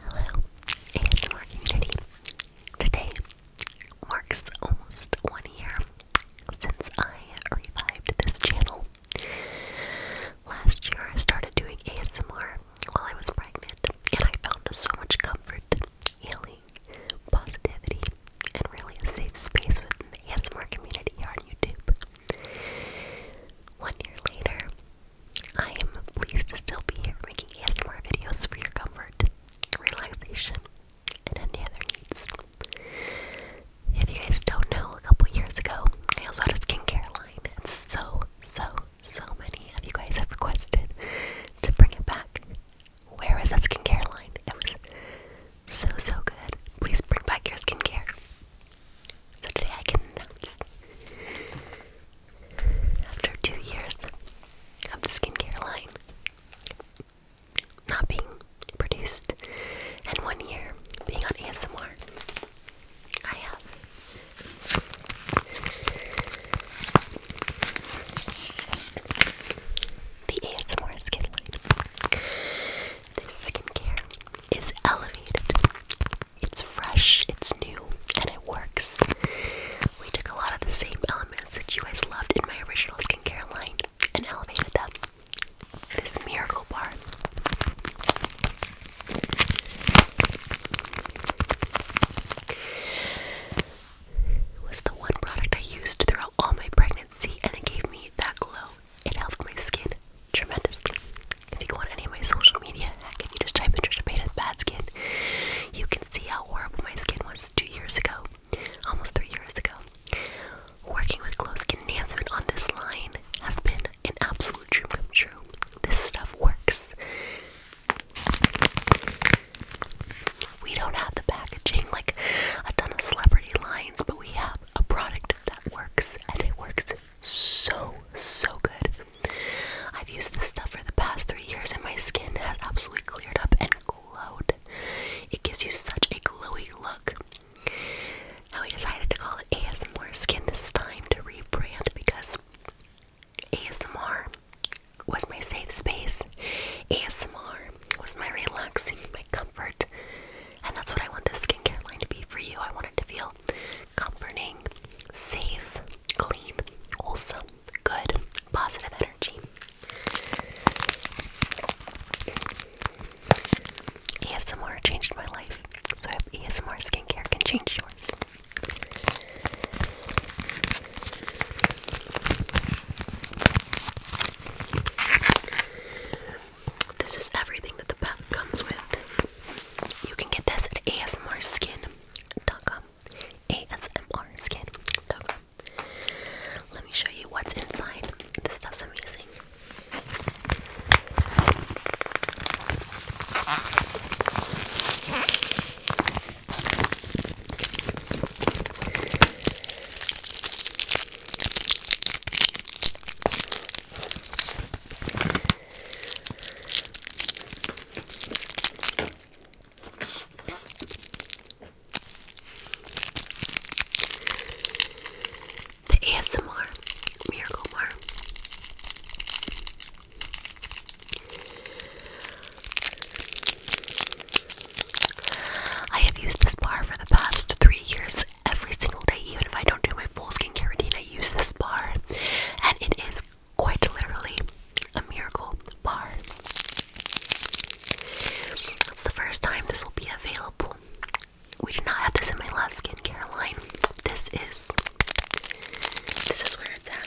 Hello, ASMR community. Today marks almost one year since I revived this channel. Last year I started doing ASMR while I was pregnant, and I found so much comfort, healing, positivity, and really a safe space within the ASMR community here on YouTube. One year later, I am pleased to still be here making yet more videos for your comfort, relaxation, and any other needs. If you guys don't know, a couple years ago, I also had a skincare line, and so, so, so many of you guys have requested to bring it back. Where is that skincare line? It was so, so good. Please bring back your skincare. So today I can announce, after two years of the skincare line not being produced and one year being on ASMR, I have the ASMR skin This skincare is elevated it's fresh, it's new, and it works. We took a lot of the same elements that you guys loved in my original skincare line and elevated them. This miracle bar. was the one product I used throughout all my pregnancy, and it gave me that glow it helped my skin tremendously. If you go on any of my social media, heck, if you just type in Trisha Paytas bad skin, you can see how horrible my skin was two years ago, almost three years ago. Working with glow skin enhancement on this line has been an absolute dream come true. This stuff works. We don't have the packaging like a ton of celebrity lines, but we have a product that works and it works so, so good. I've used this stuff for the past three years and my skin has absolutely cleared up and glowed. It gives you such a glowy look. Now we decided to call it ASMR Skin this time to rebrand because ASMR was my safe space. ASMR was my relaxing, my comfort, and that's what I want this skincare line to be for you. I want it to feel comforting, safe, clean, wholesome, good, positive energy. ASMR changed my life. So if ASMR skincare can change yours. This is everything that the pack comes with. You can get this at asmrskin.com. asmrskin.com. Let me show you what's inside. This stuff's amazing. The ASMR Miracle Mar. I have used this bar for the past three years every single day, even if I don't do my full skincare routine. I use this bar, and it is quite literally a miracle bar. It's the first time this will be available. We did not have this in my last skincare line. This is this is where it's at.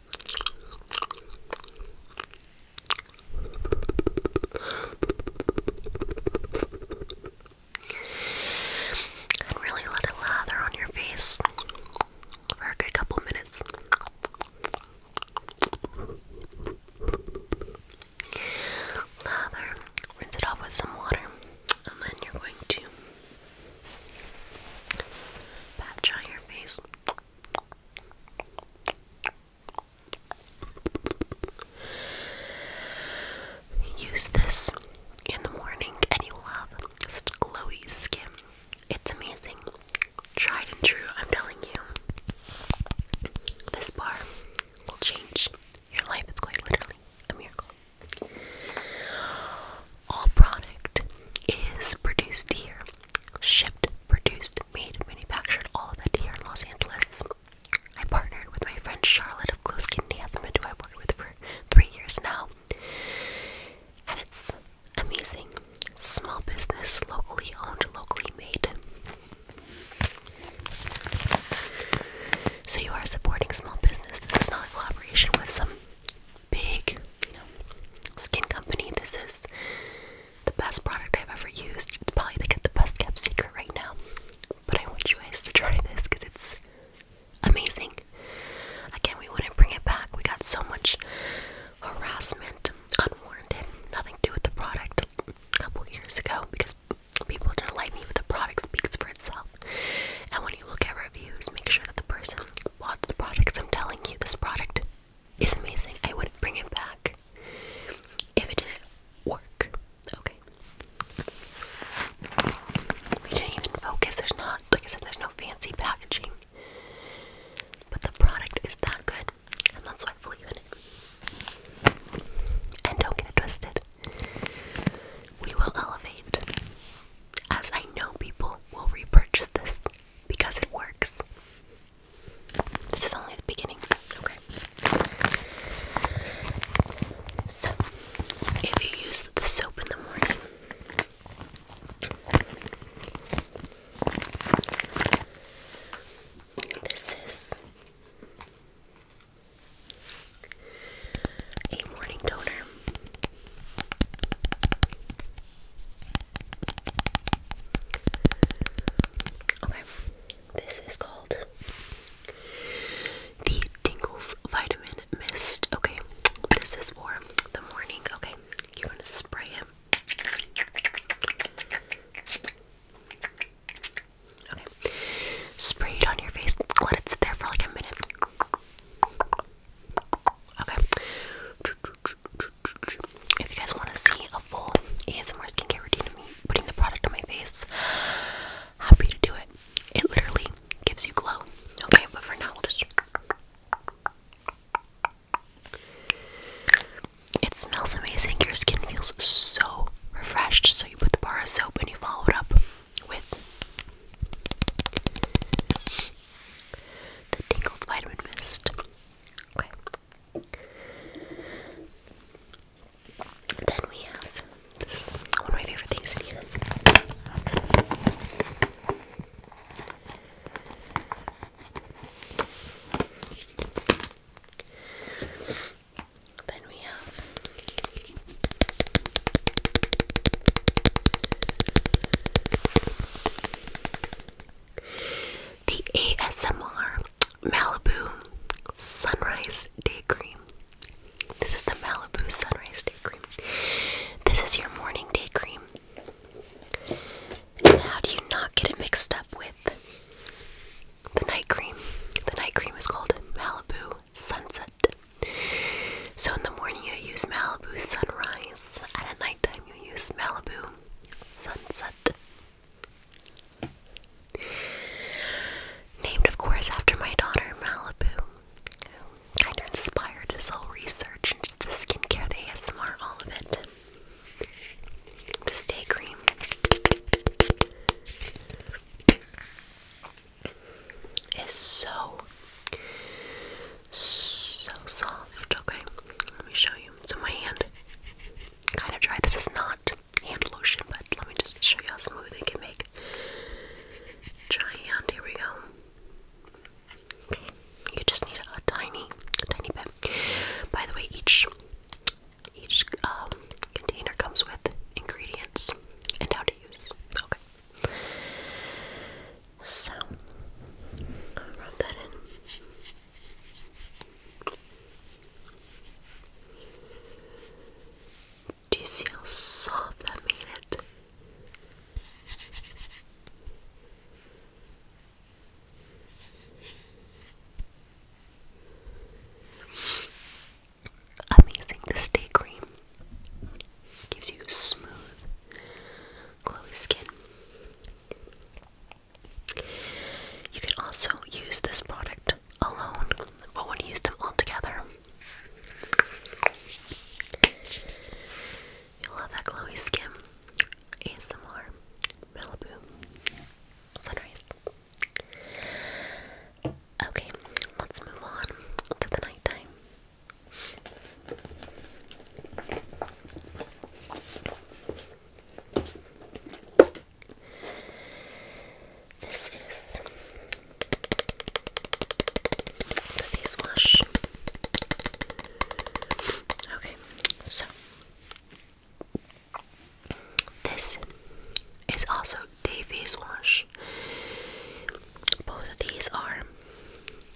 And really let it lather on your face for a good couple minutes. Lather, rinse it off with some water, and then you're going to pat dry your face. Use this in the morning and you'll have glowy skin. It's amazing. Tried and true, I'm telling you. This bar will change your life. It's quite literally a miracle. All product is produced here, shipped, produced, made, manufactured, all of that here in Los Angeles. I partnered with my friend Charlotte of Close Kidney Anthemid, who I've worked with for three years now. And it's amazing. Small business, locally owned, locally made. So you are supporting small business. This is not a collaboration with some big, skin company. This is the best product I've ever used. It's probably like the best kept secret right now. But I want you guys to try this because it's amazing. Again, we wouldn't bring it back. We got so much harassment, unwarranted, nothing to do with the product a couple years ago because people didn't like me, with the product speaks for itself. And when you look at reviews, make sure that the person bought the products. I'm telling you, this product is amazing. I wouldn't bring it back if it didn't work. Okay. We didn't even focus. There's not, like I said, there's no fancy packaging. But the product is that good, and that's why I believe in it. And don't get twisted. We will elevate as I know people will repurchase this because it works. This is only the beginning. Okay. So, if you use the soap in the morning, this is a morning toner. Okay, this is called the Tingles Vitamin Mist. Okay, this is for the morning. Okay, you're gonna spray it. Okay, spray it on your face. Let it sit there for like a minute. Okay. If you guys want to see a full ASMR skincare routine of me putting the product on my face, happy to do it. It literally gives you glow. Okay, but for now we'll just. It smells amazing. Your skin feels so refreshed. So you put the bar of soap and you follow it up with the Tingles Vitamin Mist. Okay. Then we have one of my favorite things in here. Then we have the ASMR Malibu Sunrise Day Cream. This is the Malibu Sunrise Day Cream. This is your morning day cream. And how do you not get it mixed up with the night cream? The night cream is called Malibu Sunset so in the morning you use Malibu sunrise, and at nighttime you use Malibu sunset. Named, of course, after my daughter Malibu, who kind of inspired this whole research into the skincare, the ASMR, all of it. This day cream is so so soft. Okay, let me show you. It's on my hand kind of dry. This is not hand lotion, but let me just show you how smooth it can make. Dry hand. Here we go. you just need a tiny, tiny bit. By the way, each each um, container comes with ingredients and how to use. Okay, so, rub that in. Do you see how soft that made it? amazing. This day cream gives you smooth, glowy skin. You can also use this product alone, but when you use them all together, you'll have that glowy skin. ASMR, Malibu, Sunrise. Okay, let's move on to the nighttime. This is the face wash. Okay, so this is also Davey's wash. Both of these are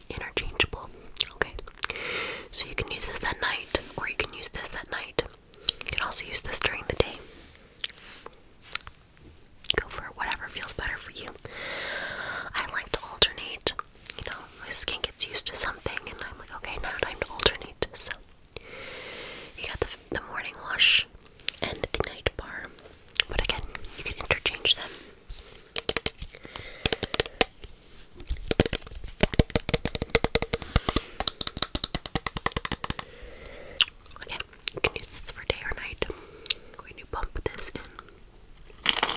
interchangeable. Okay, so you can use this at night, or you can use this at night. You can also use this during the day. Go for whatever feels better for you. I like to alternate. You know, my skin gets used to something, and I'm like, okay, now time to alternate. So, you got the, the morning wash and the night bar. But again, you can interchange them. Okay, you can use this for day or night. When you pump this in,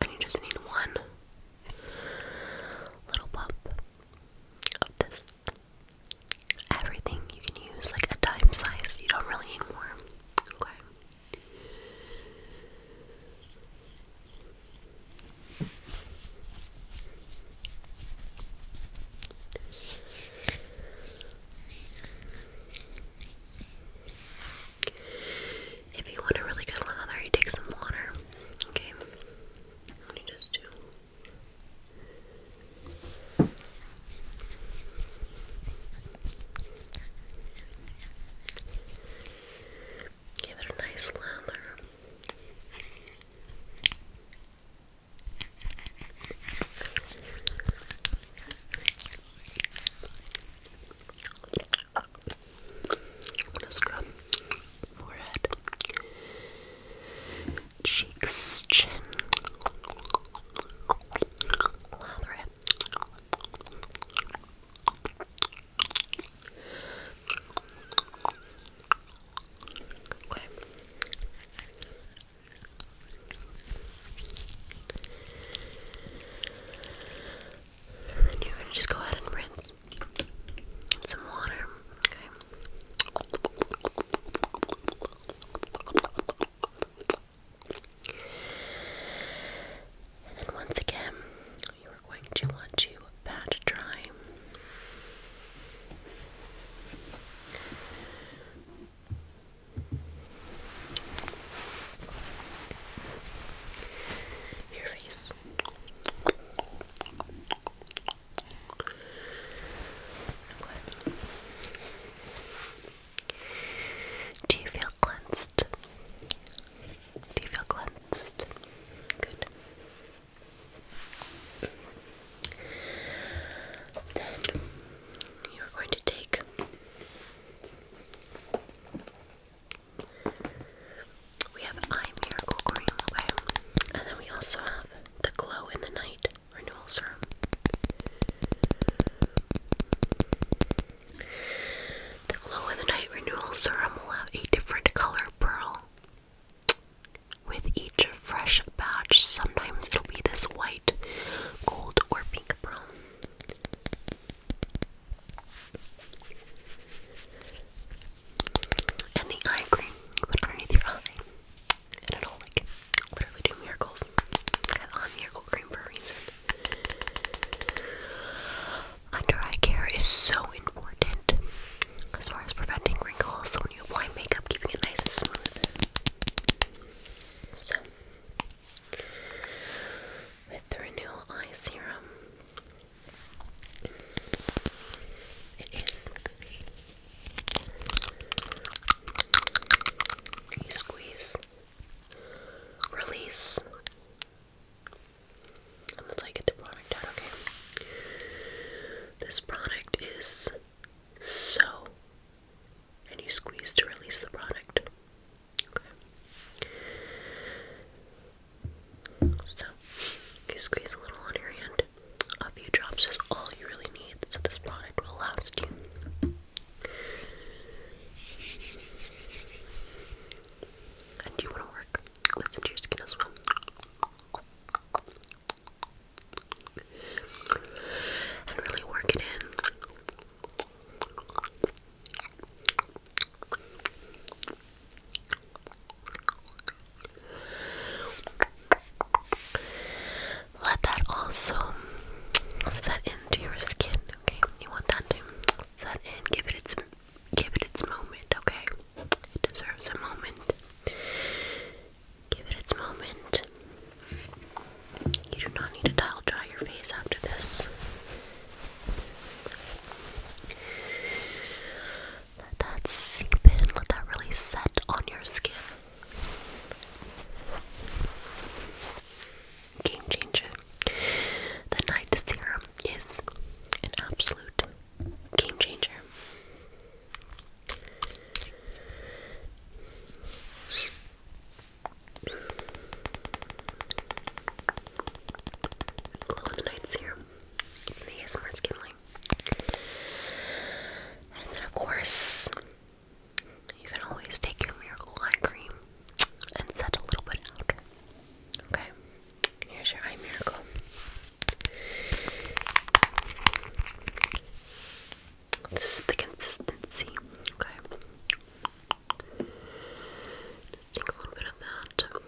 and you just need one little pump of this everything you can use, like a dime size, you don't really need more. Okay. If you want a really good lather, you take some water. Okay. Let just do. Give it a nice lather. I'm going cheeks, chin, Okay. And you're gonna just go ahead and rinse some water. Okay. And once again, you are going to want to pat dry. Your face. Do you feel cleansed? Do you feel cleansed? Good. Then you're going to take we have eye miracle cream, okay? And then we also have the Glow in the Night Renewal Serum. The Glow in the Night Renewal Serum will have a different color pearl with each fresh batch. Sometimes it'll be this white, gold, or pink pearl and the eye cream put underneath your eye, and it'll like literally do miracles. Got on miracle cream for a Under eye care is so important as far as preventing wrinkles. So when you apply makeup, keeping it nice and smooth. So with the Renewal Eye Serum. It is you squeeze, release. And that's how you get the product out, okay? This product is so, and you squeeze to release the product. Okay. So, you squeeze a little on your hand a few drops is all you really need, so this product will last you. And you want to work. Listen to your skin as well. And really work it in. Let that also set into your skin, okay? You want that to set in, give it its give it its moment, okay? It deserves a moment. Give it its moment. You do not need to towel dry your face after this. Let that seep in, let that really set on your skin. Game changer. The night serum is an absolute game changer. Glow in the night serum. The ASMR skin line. And then, of course, you can always take your miracle eye cream and set a little bit out. Okay, here's your eye miracle. This is the consistency. Okay, just take a little bit of that,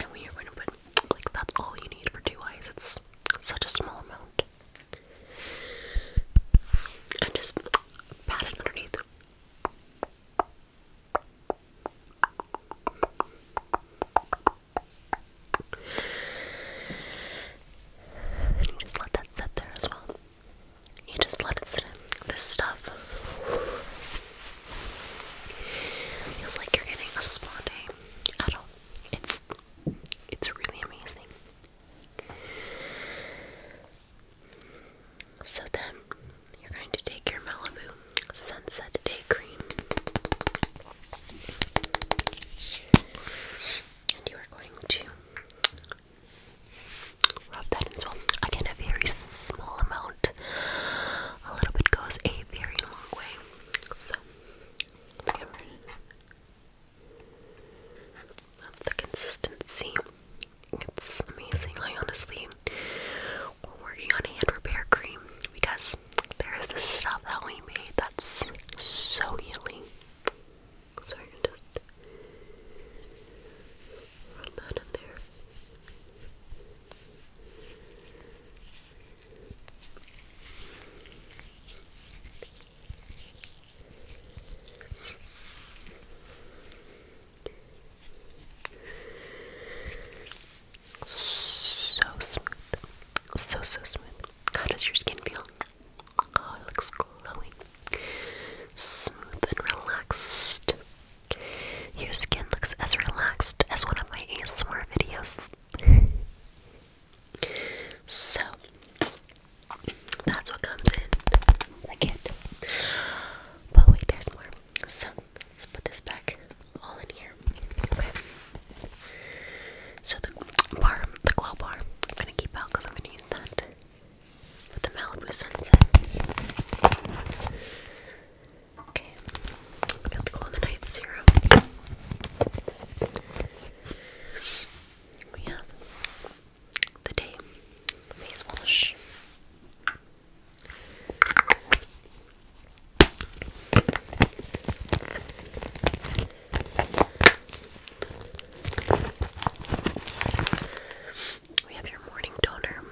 and we are going to put like, that's all you need for two eyes. It's such a small amount. And just pat it underneath. And you just let that sit there as well. You just let it sit in. This stuff Feels like you're getting a spa day at all. It's it's really amazing. So then you're going to take your Malibu Sunset Day Cream and you are going to rub that in well. I a very small amount a little bit goes a very long way. So, That's the consistency. It's amazing. honestly, we're working on hand repair cream because there is this stuff that we made that's so healing. So just run that in there. So smooth, so so smooth. How does your skin feel? Oh, it looks glowing, smooth and relaxed. Your skin looks as relaxed as one of my ASMR videos. so, that's what comes in the kit. But wait, there's more. So, let's put this back all in here. Okay. So, the bar, the glow bar, I'm gonna keep out because I'm gonna use that with the Malibu sunset. Okay, got the glow in the night serum. We have the day face wash. We have your morning toner.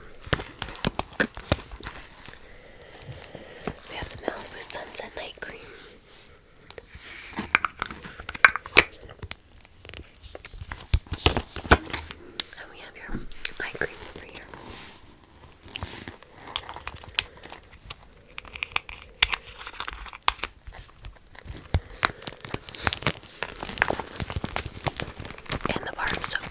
We have the Malibu Sunset Night Cream. And we have your eye cream over here. And the bar soap,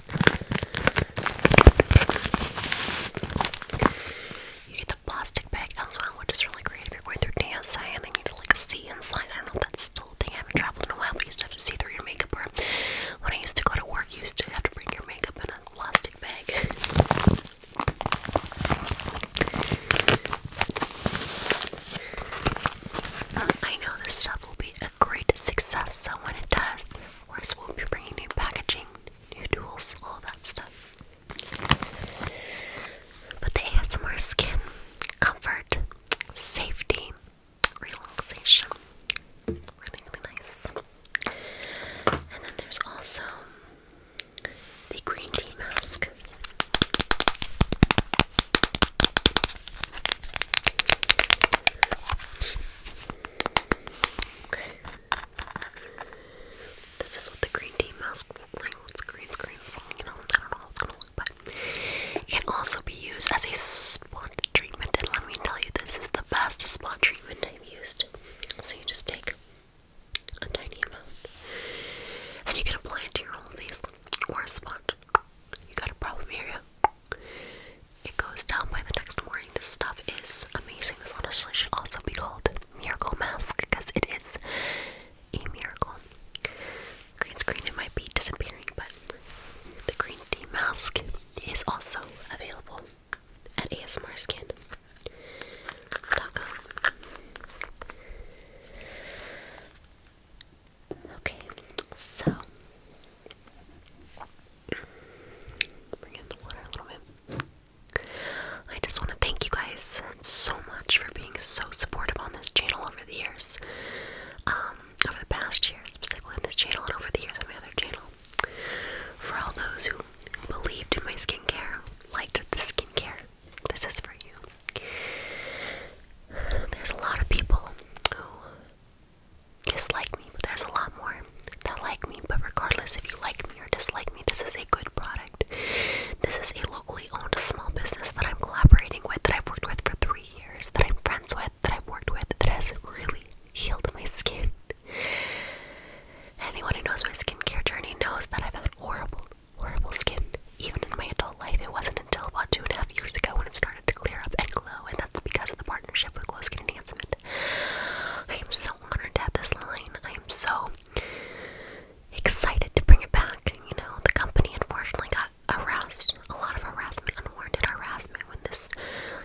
you get the plastic bag as well, which is really great if you're going through DSI and they need to like see inside. I don't know if that's still thing. I haven't traveled in a while, but you used to have to see through your makeup. when I used to go to work, you used to have to bring your makeup in a plastic bag. Uh, I know this stuff will be great success. So when it does, of course, we'll be bringing new packaging, new tools, all that stuff. But they the more skin, comfort, safety, relaxation, really, really nice. And then there's also the green tea mask. This is what the green tea mask looks like. It's green screen, so you I don't know how it's gonna look, but it can also be used as a spot treatment. And let me tell you, this is the best spot treatment I've used. So you just take a tiny amount, and you can apply it to your whole face or a spot. You got a problem area? It goes down by the next morning. This stuff is amazing. This honestly should also be called Miracle Mask because it is a miracle. Green screen, it might be disappearing, but the green tea mask is also available at ASMRskin.com. Okay, so bring in the water a little bit. I just want to thank you guys so much for being so supportive on this channel over the years. Um, over the past year, specifically on this channel and over the years on my other channel. For all those who believed in my skincare, liked the skincare, this is for you. There's a lot of people who dislike me, but there's a lot more that like me. But regardless if you like me or dislike me, this is a good product. This is a locally owned small business that I'm collaborating with, that I've worked with for three years, that I'm friends with, that I've worked with, that has really healed my skin. Anyone who knows my skincare journey knows that I've had horrible, horrible skin even in my adult life, it wasn't until about two and a half years ago when it started to clear up and glow, and that's because of the partnership with Glow Skin Enhancement. I am so honored to have this line. I am so excited to bring it back. You know, the company unfortunately got harassed, a lot of harassment, unwarranted harassment when this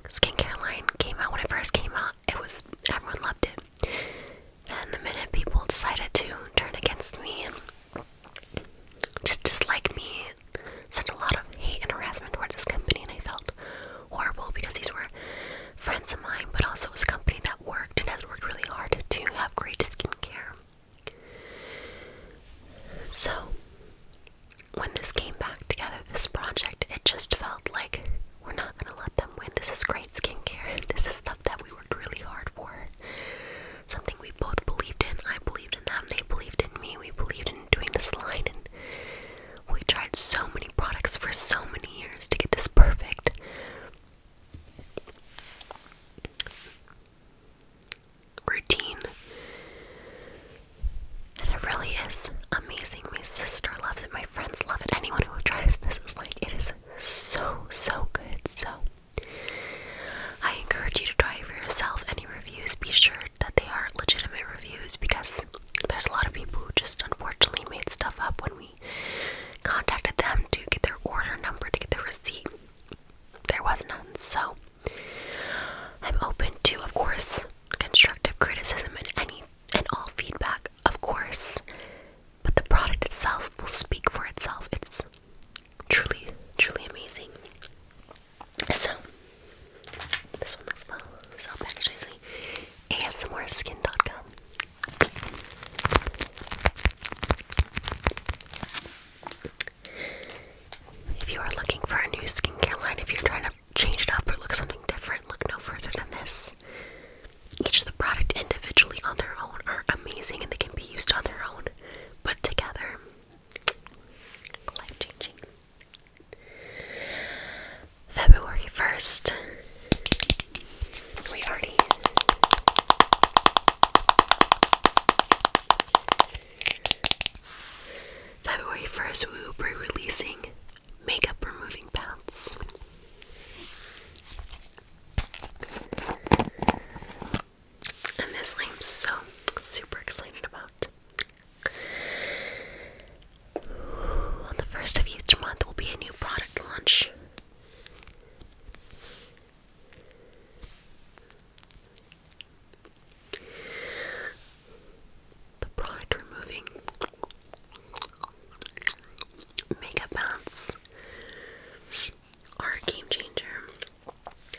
skincare line came out. When it first came out, it was everyone loved it. And the minute people decided to turn against me just dislike me, sent a lot of hate and harassment towards this company, and I felt horrible because these were friends of mine, but also was a company that worked and has worked really hard to have great skincare. So, when this came back together, this project, it just felt like we're not gonna let them win. This is great skincare, this is stuff that we worked really hard for something we both believed in. I believed in them, they believed in me, we believed in doing this line, and we tried so many products for so many years to get this perfect. Routine. And it really is amazing. My sister loves it, my friends love it. Anyone who tries this is like, it is so, so good. So, I encourage you to try it for yourself. Any reviews, be sure that they are legitimate reviews because there's a lot of people who just unfortunately made stuff up when we contacted them to get their order number, to get their receipt. There was none. So I'm open to, of course, constructive criticism and any and all feedback, of course. But the product itself will speak for itself. It's truly, truly amazing. So, this one looks fun. Self packaged Dot com. If you are looking for a new skincare line, if you're trying to change it up or look something different, look no further than this. Each of the product individually on their own are amazing and they can be used on their own, but together life changing. February 1st. We already. February 1st, we will be releasing makeup removing pads and this I'm so super excited about. On the first of each month will be a new product launch. The product removing makeup bounce are a game changer.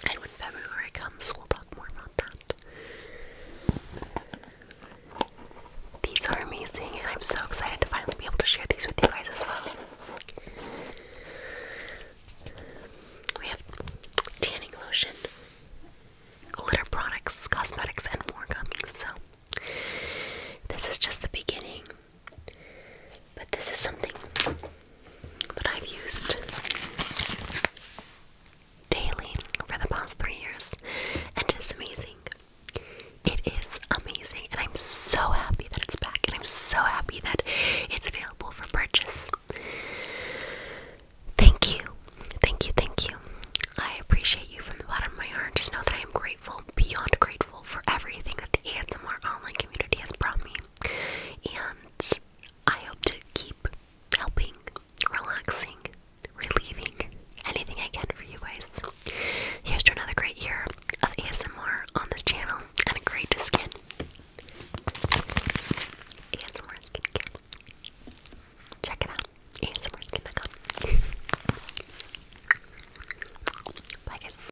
And when February comes, we'll talk more about that. These are amazing, and I'm so excited to finally be able to share these with you guys as well. We have tanning lotion, glitter products, cosmetics, and more coming. So, this is just the beginning. But this is something that I've used daily for the past three years, and it is amazing. It is amazing, and I'm so happy that it's back, and I'm so happy that it's available for purchase. Thank you, thank you, thank you. I appreciate you from the bottom of my heart. Just know that I am grateful, beyond grateful, for everything that the ASMR online community has brought me and I hope to keep helping, relaxing, relieving anything I can for you guys. Here's to another great year of ASMR on this channel and a great skin. ASMR skincare. Check it out. ASMR skin.com. Bye guys.